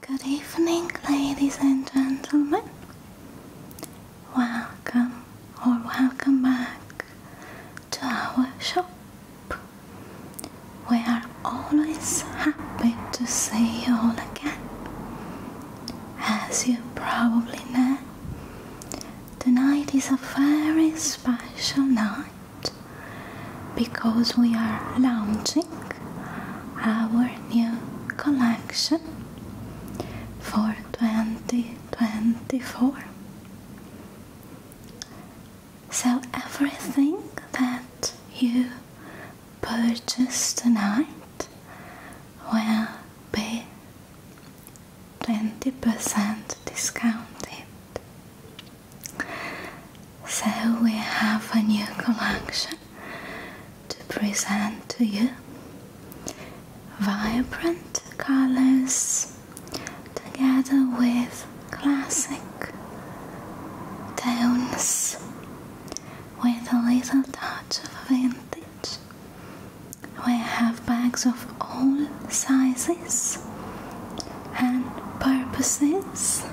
Good evening, ladies and gentlemen. Welcome or welcome back to our shop. We are always happy to see you all again. As you probably know, tonight is a very special night because we are launching our new collection for 2024. So everything that you purchase tonight will be 20% discounted. So we have a new collection to present to you. Vibrant colors together with classic tones with a little touch of vintage. We have bags of all sizes and purposes.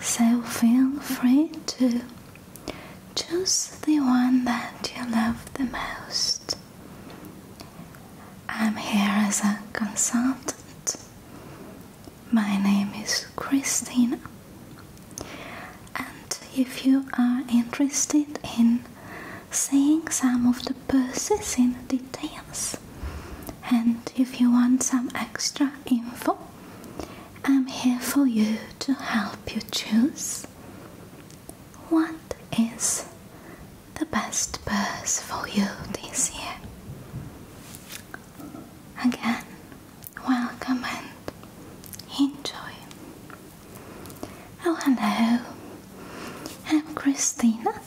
So feel free to choose the one that you love the most. I'm here as a consultant. My name is Christina. And if you are interested in seeing some of the purses in details, and if you want some extra info, I'm here for you to help you choose what is the best purse for you this year. Again, welcome and enjoy. Oh, hello, I'm Christina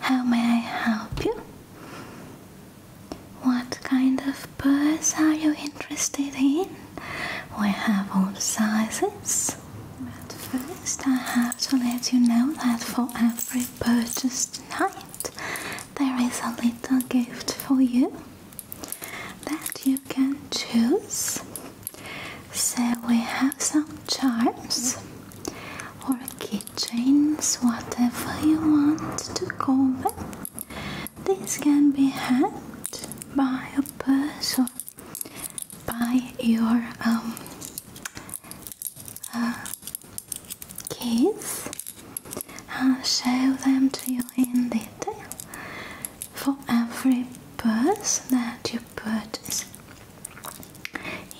how may I help you? What kind of birds are you interested in? We have all sizes. But first, I have to let you know that for every purchase tonight, there is a little gift for you that you can choose. So, we have some charms or it chains whatever you want to call them. This can be had by a person, by your um, uh, I'll show them to you in detail for every purse that you purchase.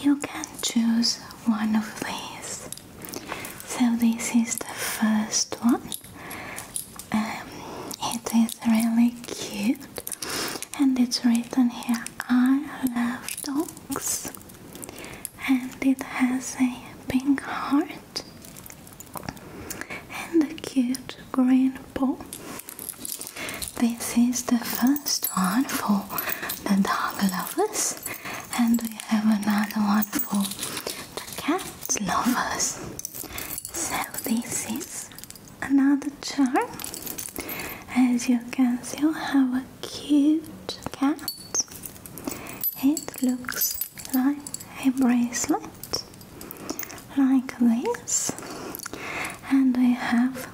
You can choose one of these. So, this is the first one. Um, it is really cute, and it's written here I love dogs, and it has a pink heart and a cute green bow. This is the first one for the dog and we have another one for the cat lovers. So this is another charm. As you can see we have a cute cat. It looks like a bracelet like this and we have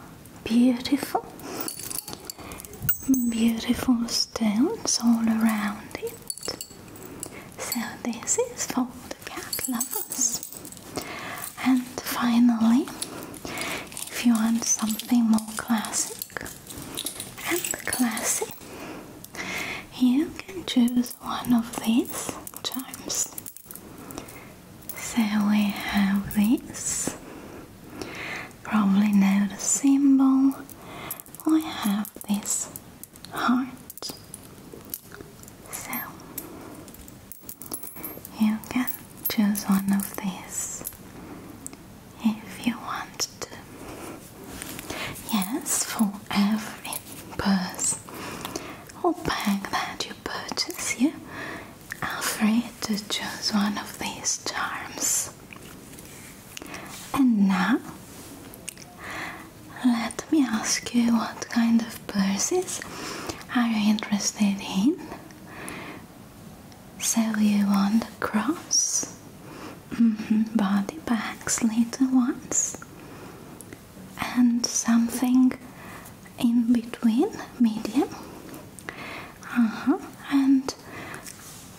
beautiful beautiful stones all around it so this is for the cat lovers and finally if you want something more classic and classy you can choose one of these charms so we have this Probably know the symbol. I have this heart. So you can choose one of these if you want to. Yes, for every purse or bag that you purchase, yeah. Afraid to choose one of these charms. And now, let me ask you what kind of purses are you interested in? So you want the cross, mm-hmm, body bags, little ones, and something in between, medium. Uh-huh, and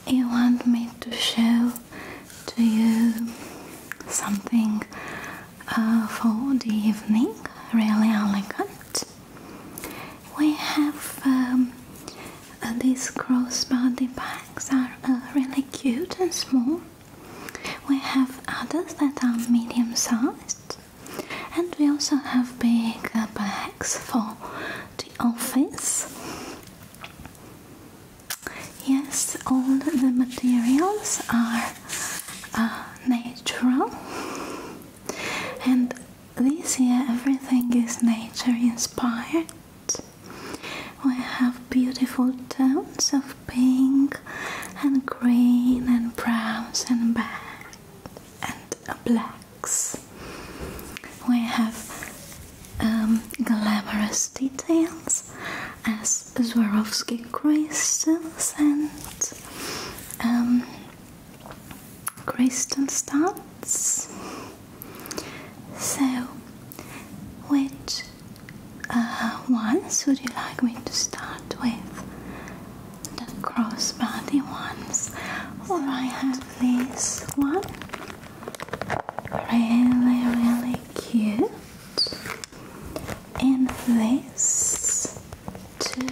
you want me to show to you something uh, for the evening, really elegant. We have um, uh, these crossbody bags are uh, really cute and small. We have others that are medium sized and we also have bigger bags for the office. Yes, all the materials are uh, natural, and this year everything is nature inspired. We have beautiful tones of pink and green and browns and, black and black we have um, glamorous details as Swarovski crystals and um, crystal studs. So, which uh, ones would you like me to start with? The crossbody ones, or I have this one. Really, really cute. And this two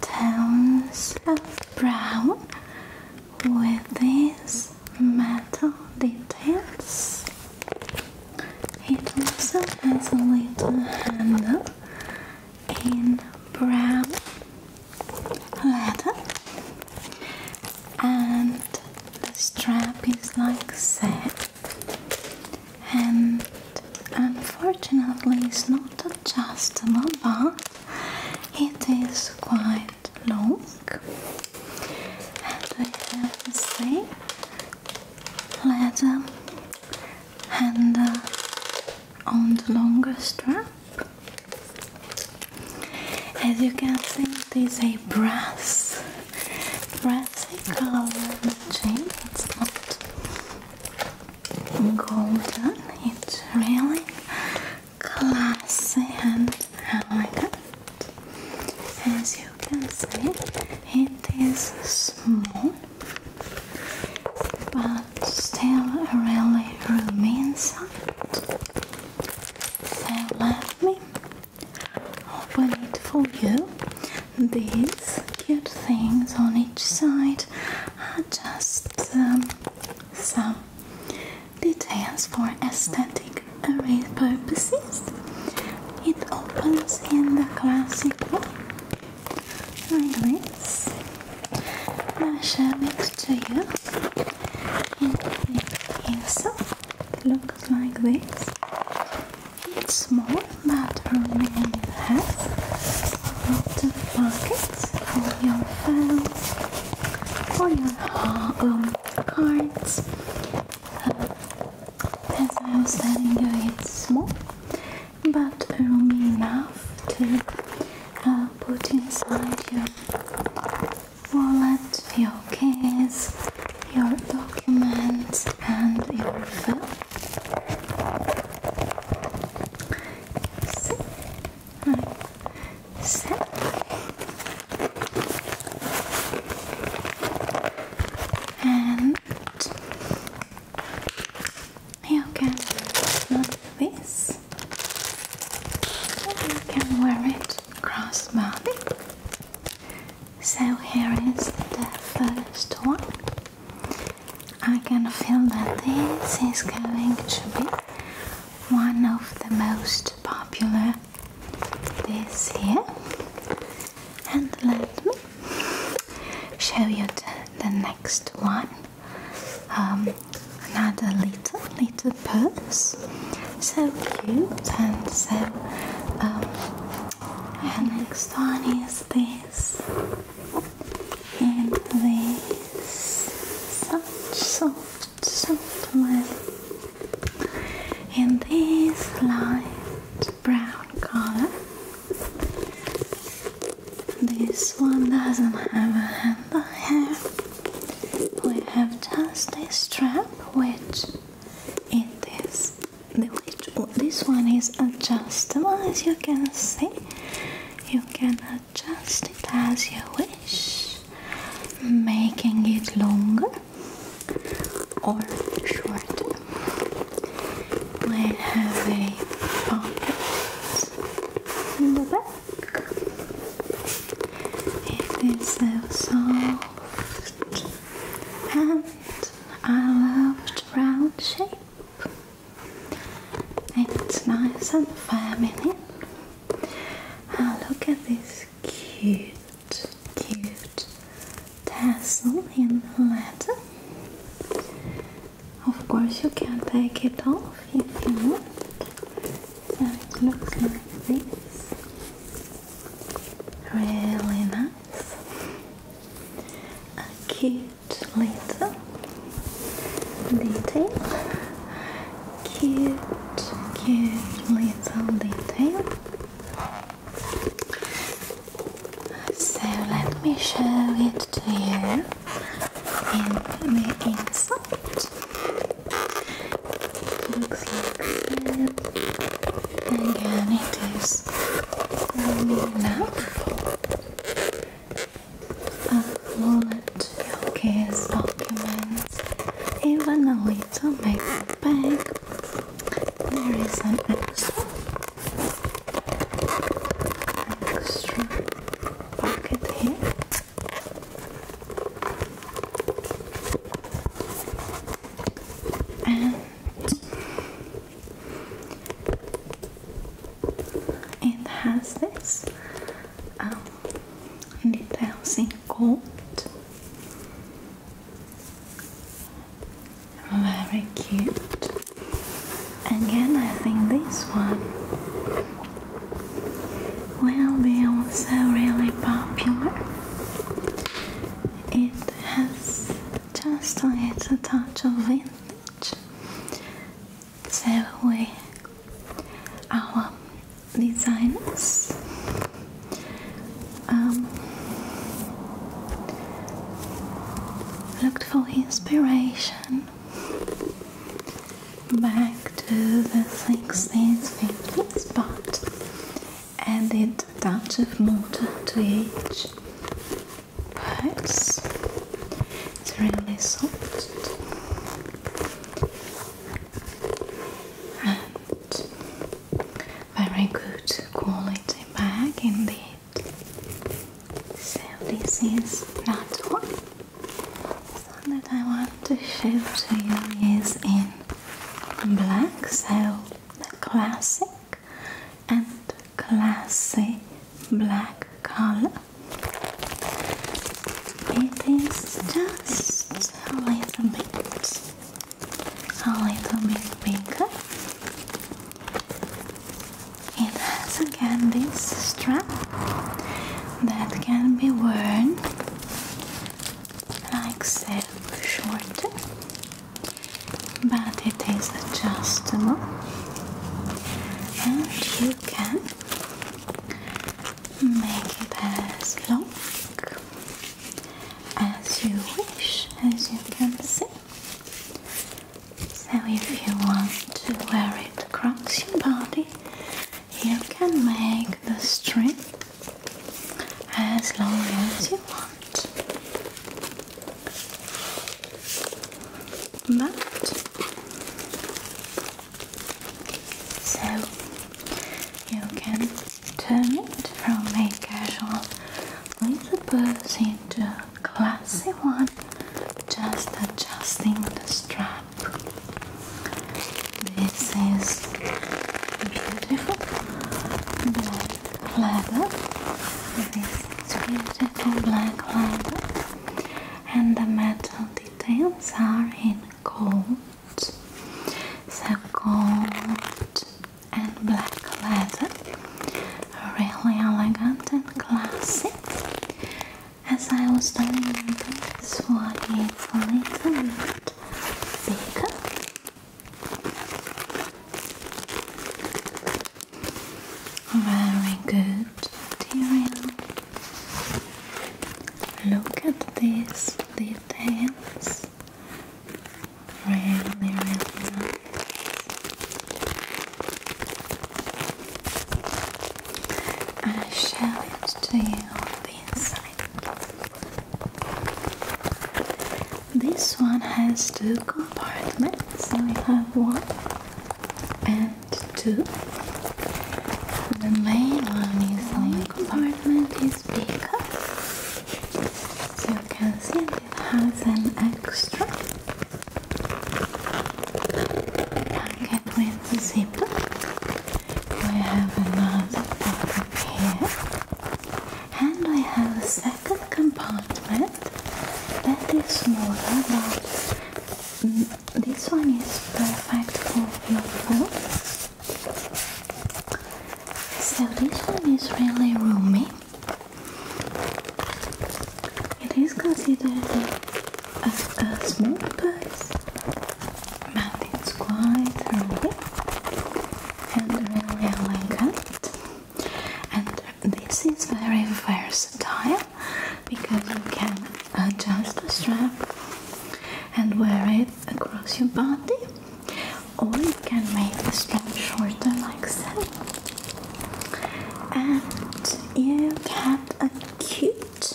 tones of brown with these metal details. It also has a little handle in brown leather and the strap is like that and unfortunately it's not adjustable but it is quite long and we have the same leather handle on the longer strap as you can see, it is a brass, brassy color chain. It's not golden. It's really classy and As you can see, it is small but still a really roomy inside. So let me open it for you. These cute things on each side are just um, some details for aesthetic array purposes. It opens in the classic way show it to you and also looks like this it's small but really A lot of pockets for your phones for your um, cards uh, as I was telling you it's small but roomy enough to uh, put inside your wallet, your keys, your documents, and your phone. Sit. Right. And Okay, not this you can wear it crossbody so here is the first one I can feel that this is going to be one of the most popular this here, and let me show you the next one um, another little little purse so cute and so um, and next one is this and this such soft soft leather and this light brown color this one doesn't have a handle here. We have just a strap which it is which this one is adjustable as you can see. You can adjust it as you wish, making it longer or shorter. We have a pocket in the back. It is so soft and I love the round shape. It's nice and feminine. Now ah, look at this cute, cute tassel in the leather. Of course, you can take it off if you want. So it looks like this. Really nice. A cute little detail. Cute, cute little detail. So let me show it to you and the inside looks like that. Again, it is rounded up. A wallet, showcase documents, even a little paper bag. There is an extra pocket here. And it has this um, details in gold. Very cute. Again, I think this one will be also really popular. It has just a touch of vintage. So we, our designers, um, looked for inspiration back to the 16th finger spot and it a touch of mortar to each but it's really soft and very good quality bag indeed so this is not one this one that I want to show to you is in black, so the classic and classy black color. It is just a little bit, a little bit bigger. It has again this strap that can be worn like self-short but it is adjustable and you can make it as long as you wish as you can see so if you want to wear it across your body you can make the string as long as you want but so you can turn it from a casual little purse into a classy one just adjusting the strap this is beautiful black leather. This beautiful black leather, and the metal details are in gold. So gold and black leather, really elegant and classic as I was telling you, this one is a little bit bigger. Very good material. Look at these details. Really, really nice. I show it to you on the inside. This one has two compartments. So we have one and two. The main one is the compartment is bigger. So you can see it has an extra packet with and the have another pocket here, and I have a second compartment that is smaller, but mm, this one is perfect for your phone. So this one is really roomy. It is considered a, a small purse, it's quite early and really elegant and this is very versatile because you can adjust the strap and wear it across your body or you can make the strap shorter like so and you get a cute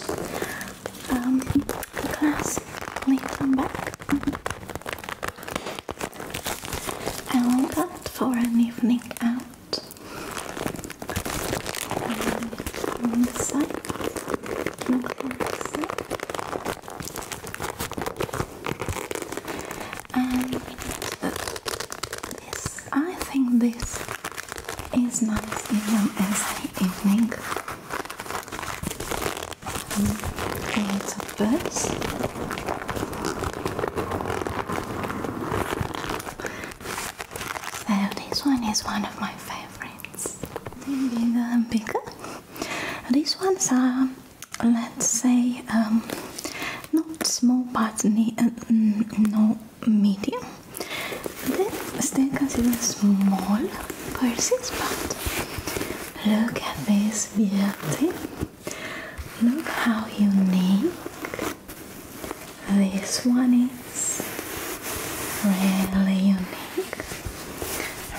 um, the class later on back. I want that for an evening out. on this side, And this, uh, I think this is nice even as an evening. It's a birds. So this one is one of my favorites. Bigger and bigger. These ones are, let's say, um, not small but not medium. Then stay considered small purses, but look at this beauty. Look how unique this one is. Really unique.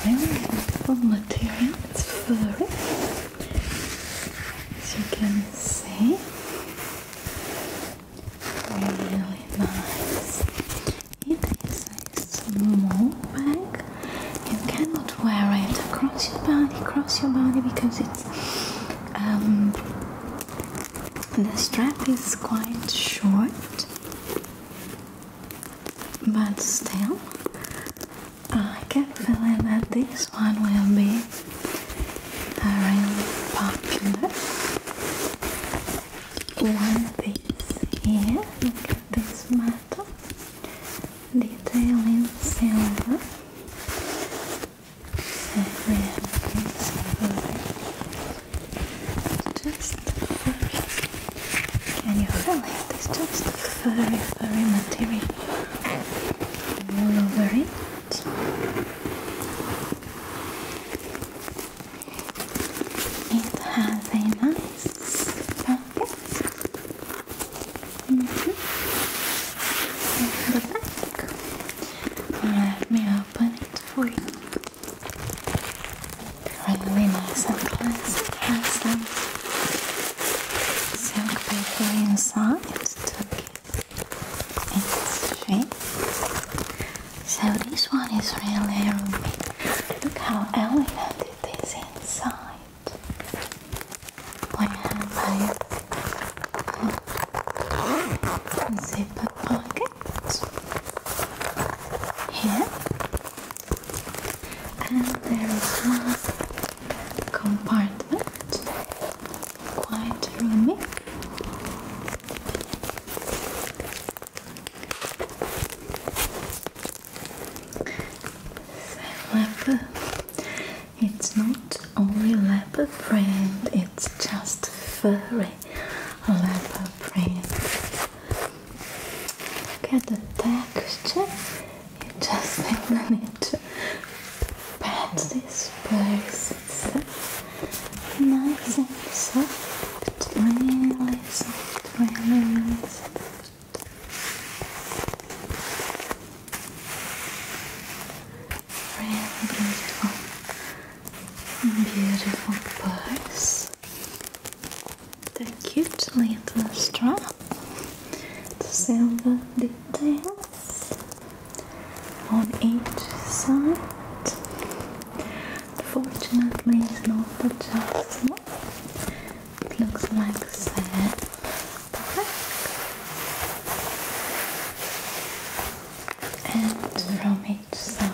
Really beautiful material. It's furry. As you can see. Really nice. It is a small bag. You cannot wear it across your body, across your body because it's um, the strap is quite short. But still, I can feel that this one will be a really popular one piece here. Look at this metal detailing, in silver. just furry. Can you feel it? It's just furry, furry material all over it. It has a nice pocket. Mm-hmm. the back. Let me open it for you. Really nice and classic. Has some silk paper inside to give its shape. So this one is really roomy. Look how elegant it is inside. Plan by zipper pockets here, and there is one compartment, quite roomy. Leopard. It's not only leopard print, it's just furry leopard print. Look at the texture. You just think I need to pat this place nice and soft, really soft, really, soft. Really beautiful, beautiful purse. The cute little strap, the silver details on each side. Fortunately, it's not the just It looks like that. And from each side.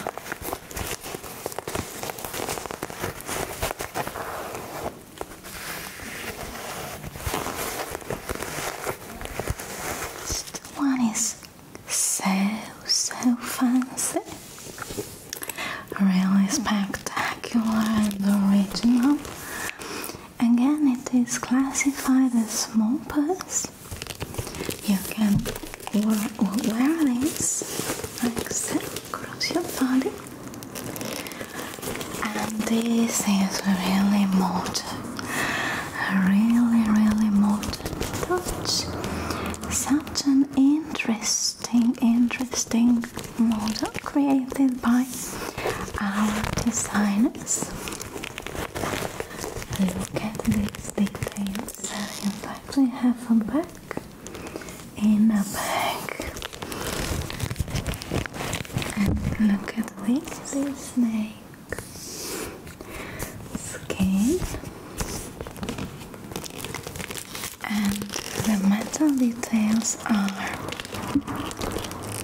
One is so, so fancy. Really spectacular and original. Again, it is classified as small purse. You can wear, wear this across your body. And this is really modern. Really, really modern touch. Such an interesting, interesting model created by our designers. Look at these details. In fact, have a bag in a bag. And look at this snake skin and the metal details are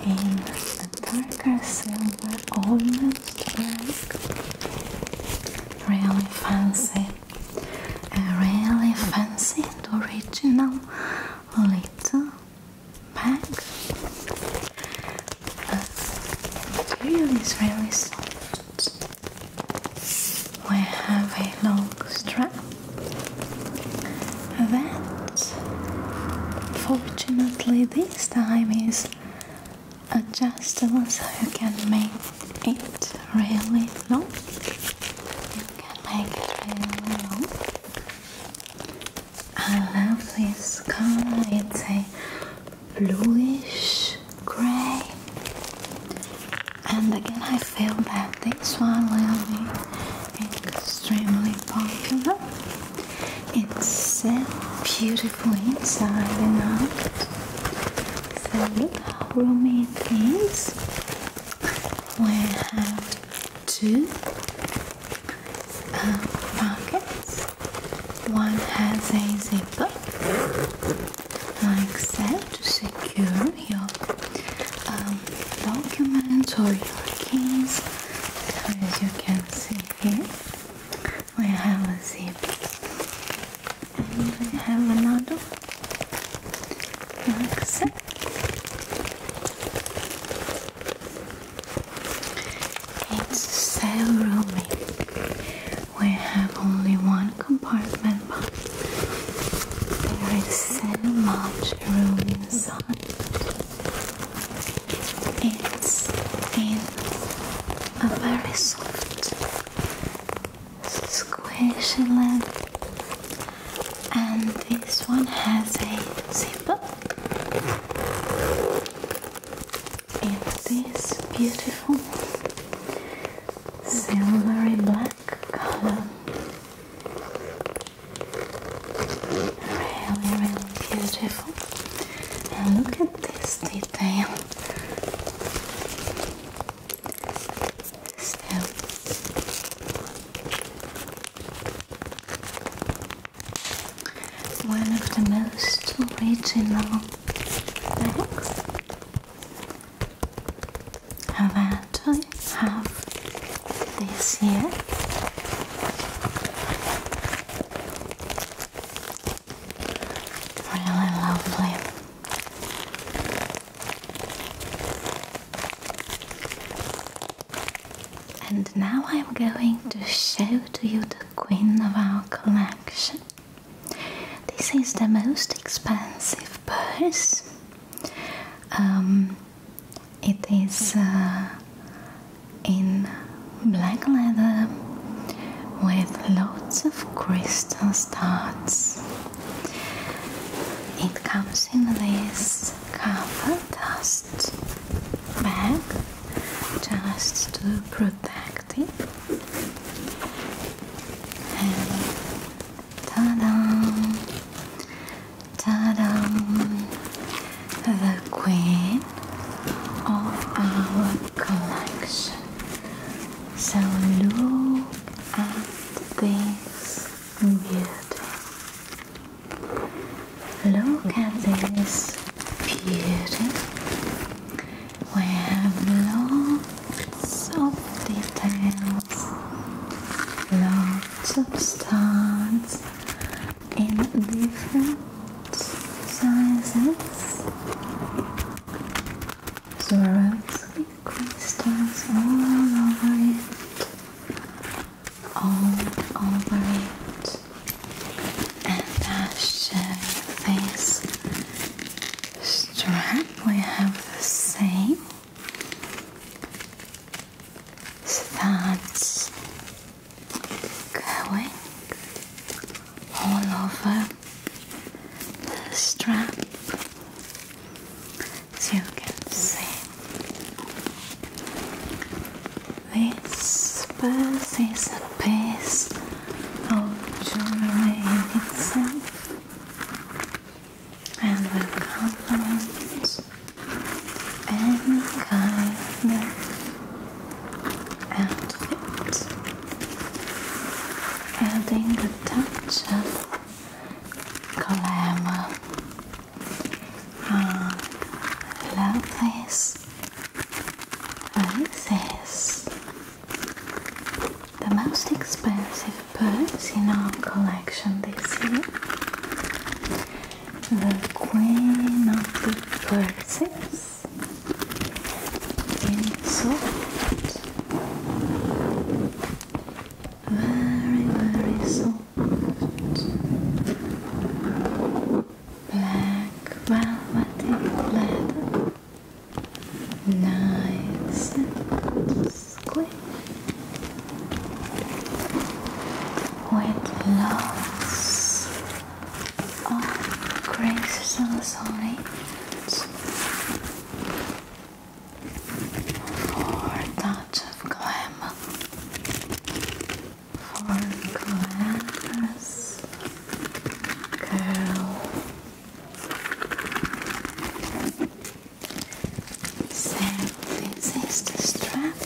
in a darker silver almost black really fancy a really fancy and original little bag but the really soft we have a long strap that fortunately this time is adjustable so you can make it really long you can make it really long I love this color, it's a bluish gray and again I feel that this one will be extremely popular it's set beautifully inside and out so look how roomy it is we have two pockets uh, one has a zipper like that to secure your um, documents or your keys as you can see here we have a zip and we have another like that it's so roomy we have only one compartment, but there is so much room inside. It's in a very soft, squishy lid, and this one has a zipper in this beautiful silvery black color. Really, really beautiful. And look at this detail. Still. One of the most original bags that I have this here. Really lovely. And now I'm going to show to you the queen of our collection. This is the most expensive purse. Um, it is uh, in black leather with lots of crystal studs. It comes in this cover dust bag just to protect and ta-da ta-da the queen of our collection so look at this beauty Look at this beauty. We have lots of details, lots of stars in different sizes, Swarovski crystals all over it, all over it, and I show your face strap we have the same so that's going all over the strap as you can see this piece is a piece of Germany itself and will compliments and kindness of it, adding the touch of glamour. Uh, ah, lovely love the most expensive birds in our collection this year the Queen of the Persians in salt very very soft black velvety leather nice and squeeze with lots of grace for a of glamour for glass girl so this is the strap.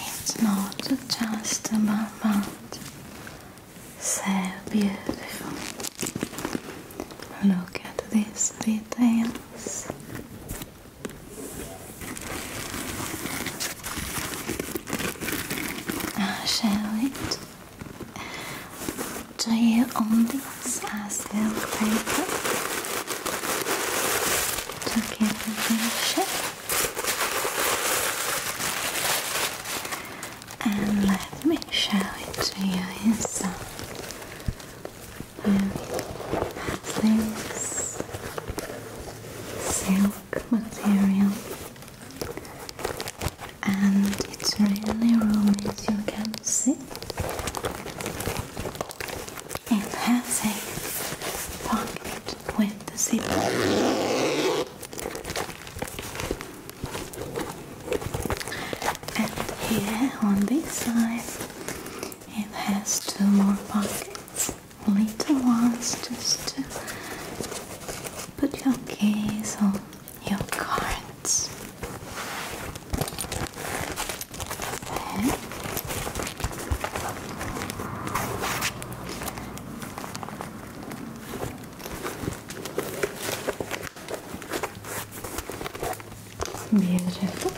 It's not just a band, so beautiful. Look at these details. i shall show it. Do you own these as silk paper to give it shape? And let me show it to you inside. Here silk material and it's really roomy you can see. It has a pocket with the zip. And here on this side it has two more pockets. Little ones just to Put your keys on your cards. Then Beautiful.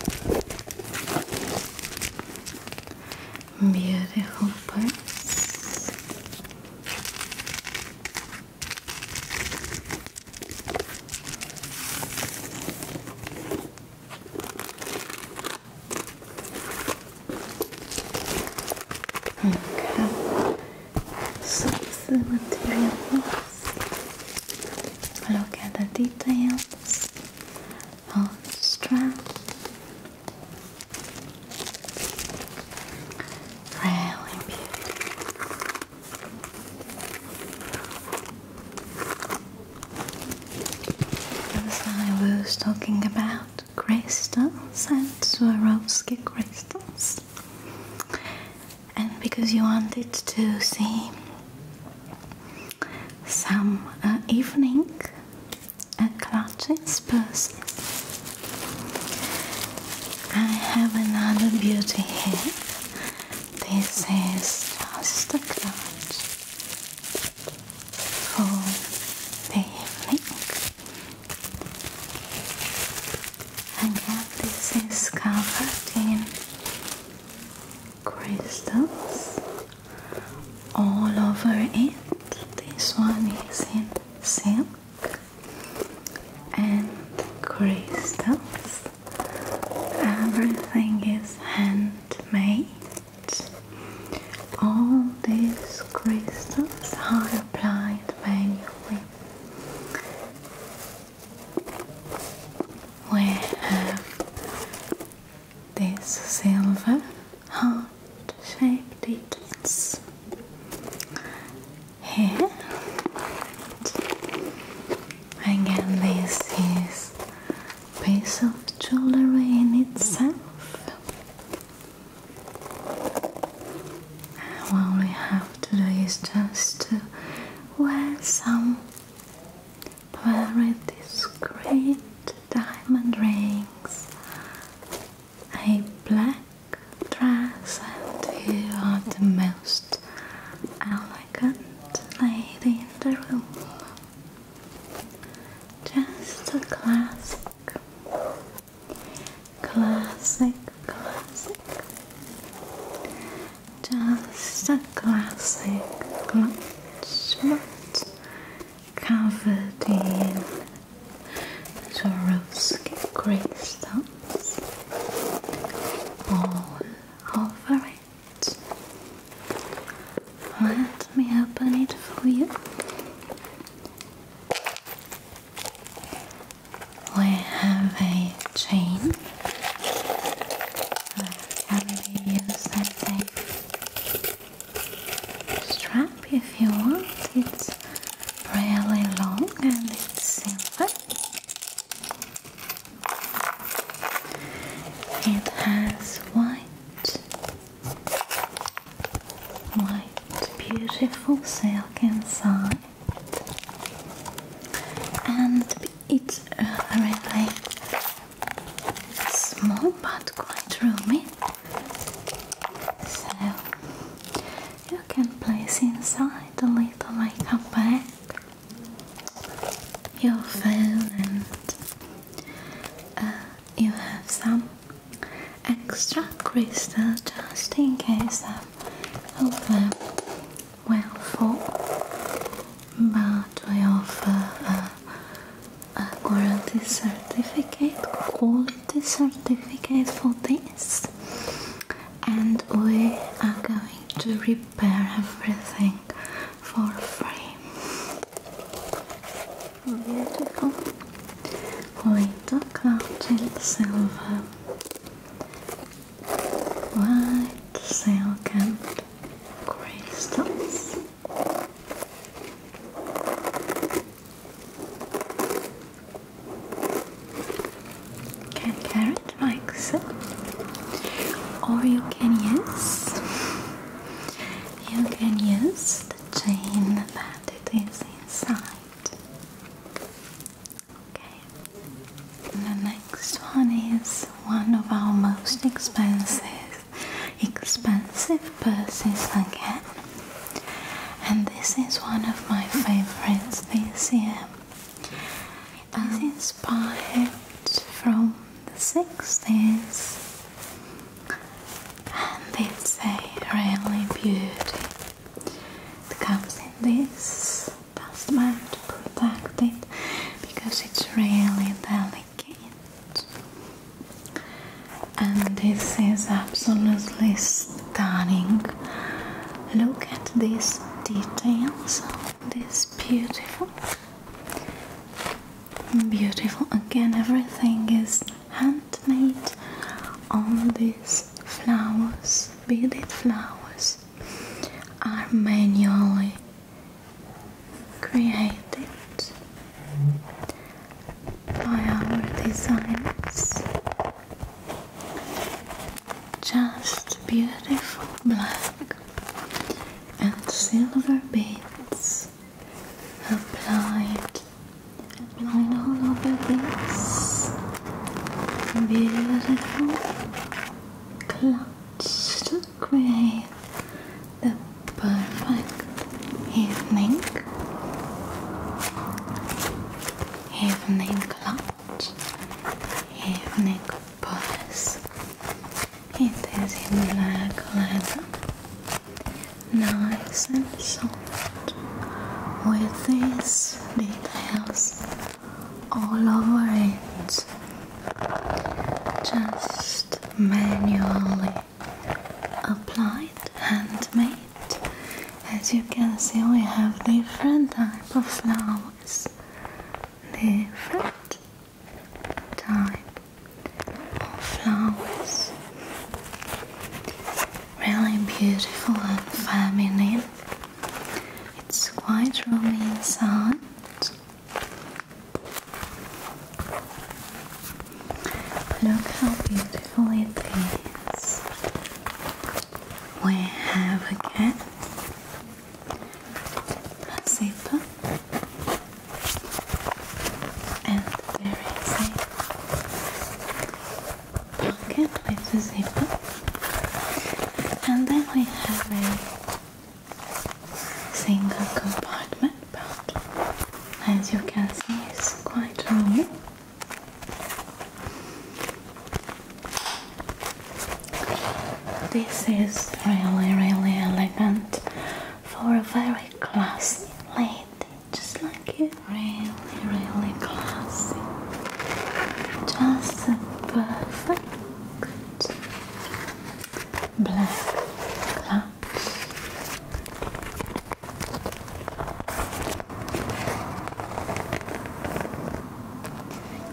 Beautiful Okay. So the materials. Look at the details of the Really I was talking about crystals and Swarovski crystals, and because you wanted to see some evening a clutches purse. I have another beauty here. This is just a cloud for the evening. Again, this is covered in crystals all over it. This one is in silk and crystals. Everything is handmade. All these crystals are applied manually. We have this silver hard shape details here. And again, this is piece of jewelry in itself. All we have to do is just to wear some very discreet diamond rings a black dress and you are the most elegant lady in the room. Just a classic, classic, classic. Just a classic clutch covered in Swarovski crystals all over it. Let me open it for you. We have a chain can be used as strap if you want. It's really long and it's simple. It has white, white, beautiful silk inside, and it's really small but quite roomy. So you can place inside a little makeup bag You phone and uh, you have some extra crystals just in case of over well full but we offer a, a quality certificate quality the certificate for this and we are going to repair everything for free beautiful we took silver white silk crystals you can carry it like so, or you can use you can use the chain that it is inside. Okay. The next one is one of our most expensive expensive purses I again and this is one of my favorites this year. It is inspired from the 60s and it's a really beauty. It comes in this dustbag to protect it because it's really delicate and this is absolutely stunning stunning. Look at these details, this beautiful, beautiful. Again, everything is handmade. All these flowers, beaded flowers, are manually created by our designs, Just beautiful black and silver beads applied all of this beautiful clouds to create the perfect evening evening clouds, evening bodies. It is in black leather, nice and soft, with these details all over it. Just manually applied, handmade. As you can see, we have different type of flowers. Different type of flowers. Really beautiful and feminine. It's quite roomy inside. Look how beautiful it is. We have a zipper, and there is a pocket with a zipper, and then we have a single compartment. But as you can see, it's quite long. This is really, really elegant for a very classy lady, just like you. Really, really classy. Just a perfect black clutch.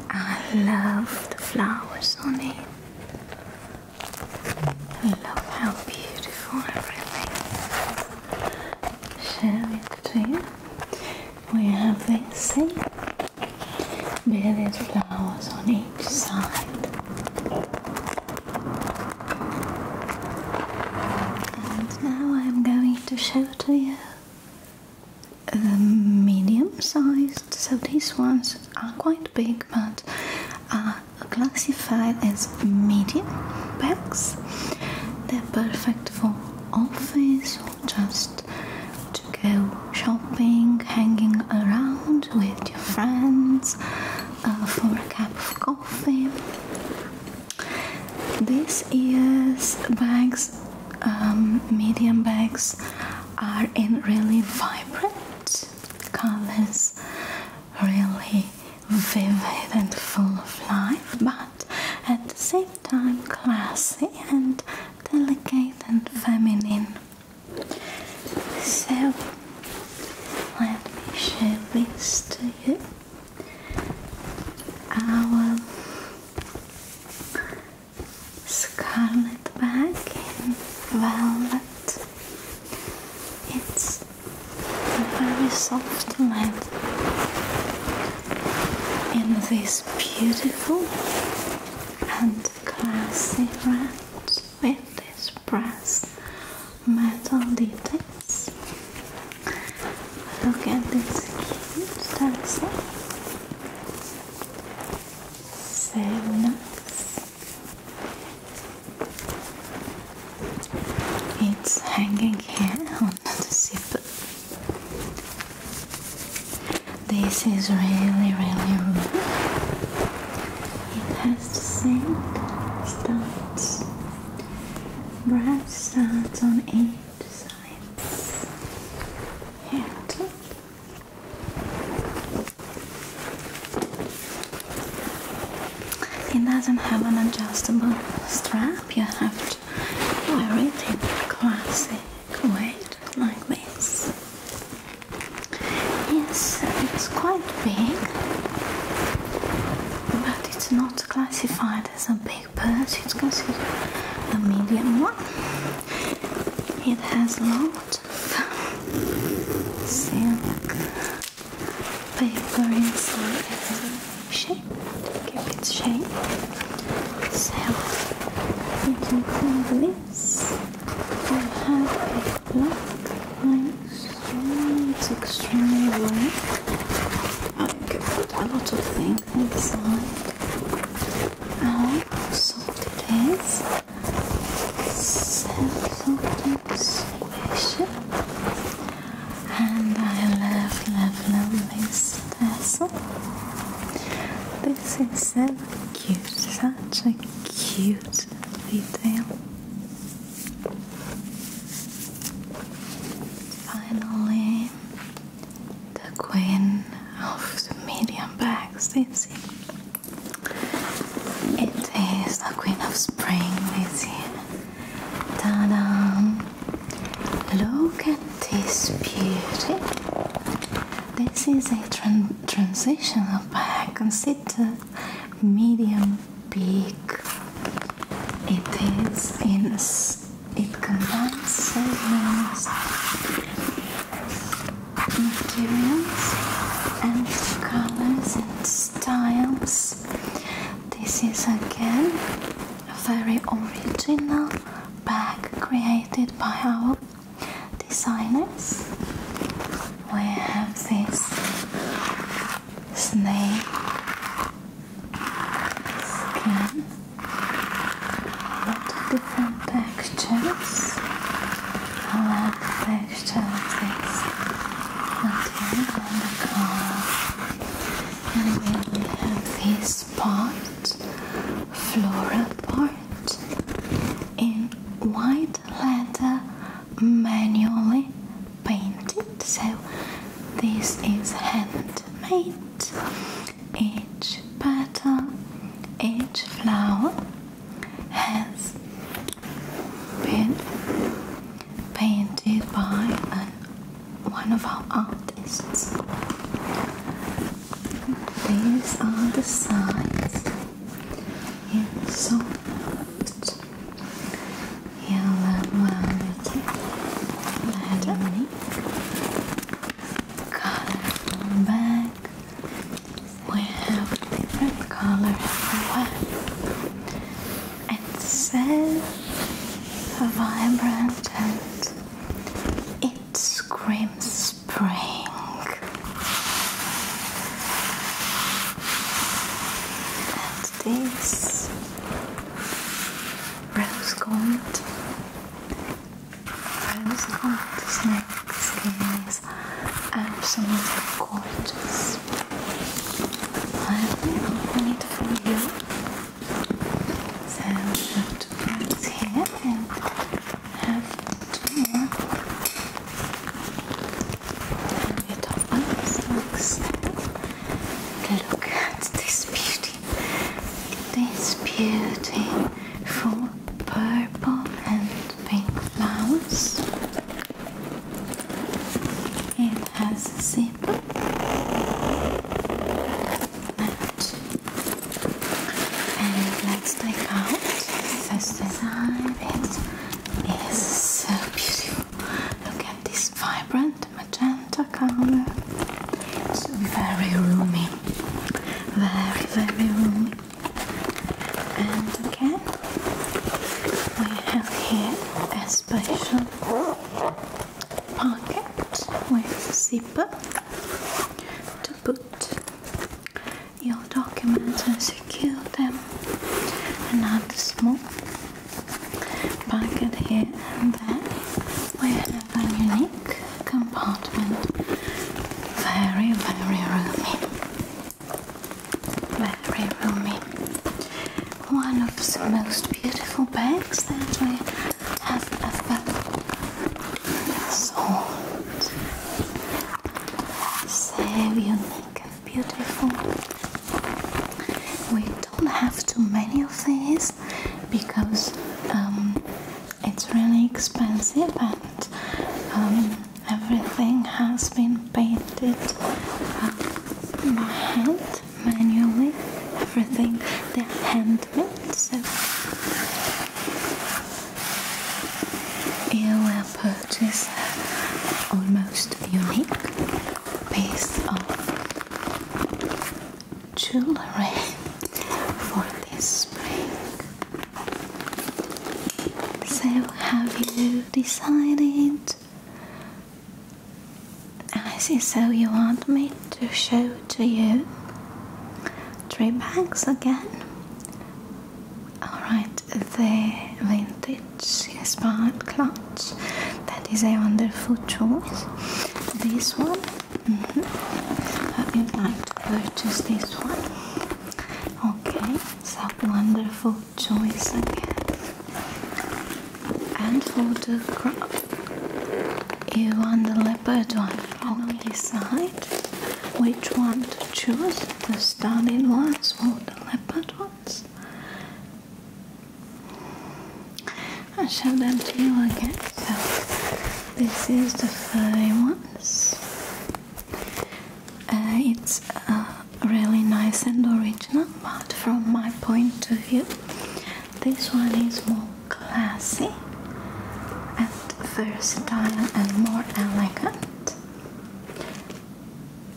I love the flowers on it. I love how beautiful everything. Share it to you. We have this see? There is flowers on each side. And now I'm going to show it to you um, medium sized, so these ones are quite big but uh, are classified as medium bags. They're perfect for office or just to go shopping, hanging around with your friends uh, for a cup of coffee. This year's bags, um, medium bags, are in really vibrant colors, really vivid and full of life, but at the same time classy and delicate and feminine. So let me show this to you our scarlet bag in velvet. It's very soft leather in this beautiful and classy red with this brass metal detail. Look at this cute taxa. So It's hanging here on the zipper. This is really, really rude. It has the same studs, brass studs on each it doesn't have an adjustable strap, you have to wear it in a classic way like this. Yes, it's quite big, but it's not classified as a big but it's considered a medium one. It has lots of silk paper inside every shape to keep its shape. So you can think this I have a black nice it's extremely black. I can put a lot of things take this side out, soft it is. Self-sorting situation. And I love, love, love this This is so cute, such a cute detail. Finally, the queen of the medium bags. It's It is the queen of spring. It's Ta-da! Look at this beauty. This is a tran transitional bag. Consider medium big. It is in it combines so many materials and colors and styles. This is again a very original bag created by our designers. We have this snake skin. lot of different textures. I like the texture of this material and the color. And we have this part, floral part, in white leather manually painted. So this is handmade each petal, each flower has been painted by one of our artists. These are the signs. Yeah, so soft yellow velvet leather colorful bag. We have different color everywhere. It's so vibrant and it screams spring. And this rose gold. Rose gold snake skin absolutely gorgeous. I will open it for you. So have here and have two more. And the top one Look at this beauty. This beautiful purple and pink flowers. It has a zip and let's take out this design. It is so beautiful. Look at this vibrant magenta color. It's very roomy, very, very roomy. And again, we have here a special pocket with zipper to put your documents and secure them. Another small pocket here and there. We very unique compartment. Very, very roomy. Very roomy. One of the most beautiful bags that we have ever sold. So unique and beautiful. We I don't have too many of these because um, it's really expensive and um, everything has been painted uh, by hand manually. Everything they hand handmade, so you will purchase almost unique piece of jewelry for this spring. So, have you decided? I see, so you want me to show to you three bags again? Alright, the vintage spark clutch that is a wonderful choice. This one Mm-hmm. I would like to purchase this one. Okay, it's a wonderful choice again. And for the crop, you want the leopard one on mm-hmm. this side? which one to choose, the stunning ones or the leopard ones. I'll show them to you again. So this is the furry ones. Uh, it's really nice and original, but from my point of view, this one is more classy and versatile and more elegant.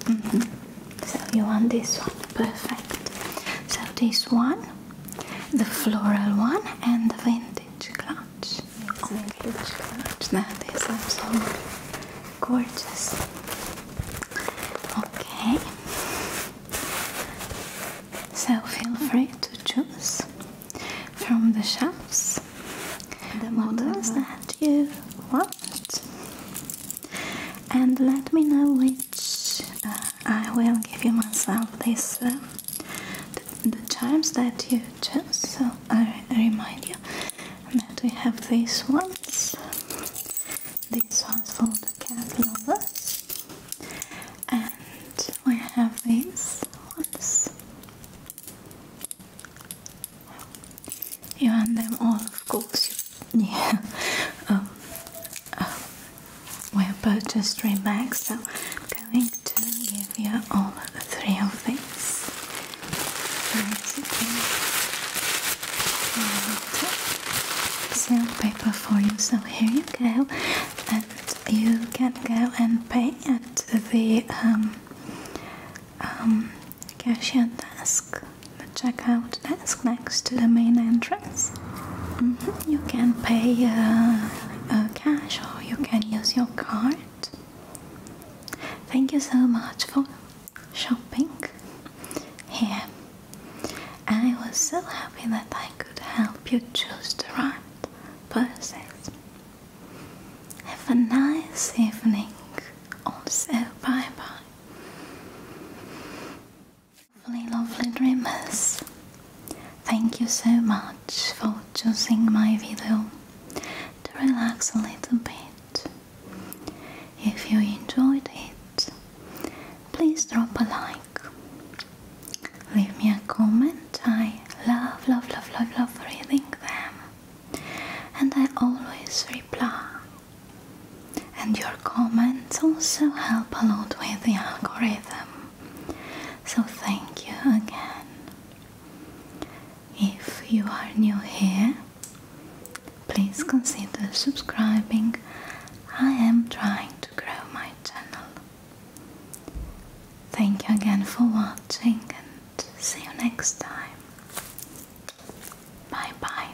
Mm-hmm. So you want this one, perfect. So this one the floral one and the vintage clutch. It's vintage clutch. That is absolutely gorgeous. Okay. So feel free to choose from the shelves the models that you want. And let me know which uh, I will give you myself this uh, the, charms that you chose so I remind you that we have these ones these ones for the cat lovers and we have these ones you want them all of course yeah were purchased three bags, so I'm going to give you all the three of these. Basically, seal paper for you. So here you go, and you can go and pay at the um, um, cashier desk, the checkout desk next to the main entrance entrance. Mm-hmm. You can pay uh, uh, cash or you can use your card. Thank you so much for shopping here. I was so happy that I could help you choose the right purses. Have a nice evening. Also, bye bye. Lovely, lovely dreamers. Thank you so much for choosing my video to relax a little bit. If you enjoyed it, please drop a like. Leave me a comment. I love, love, love, love, love reading them. And I always reply. And your comments also help a lot with the algorithm. So, thank you again. If you are new here, please consider subscribing. I am trying to grow my channel. Thank you again for watching and see you next time. Bye bye.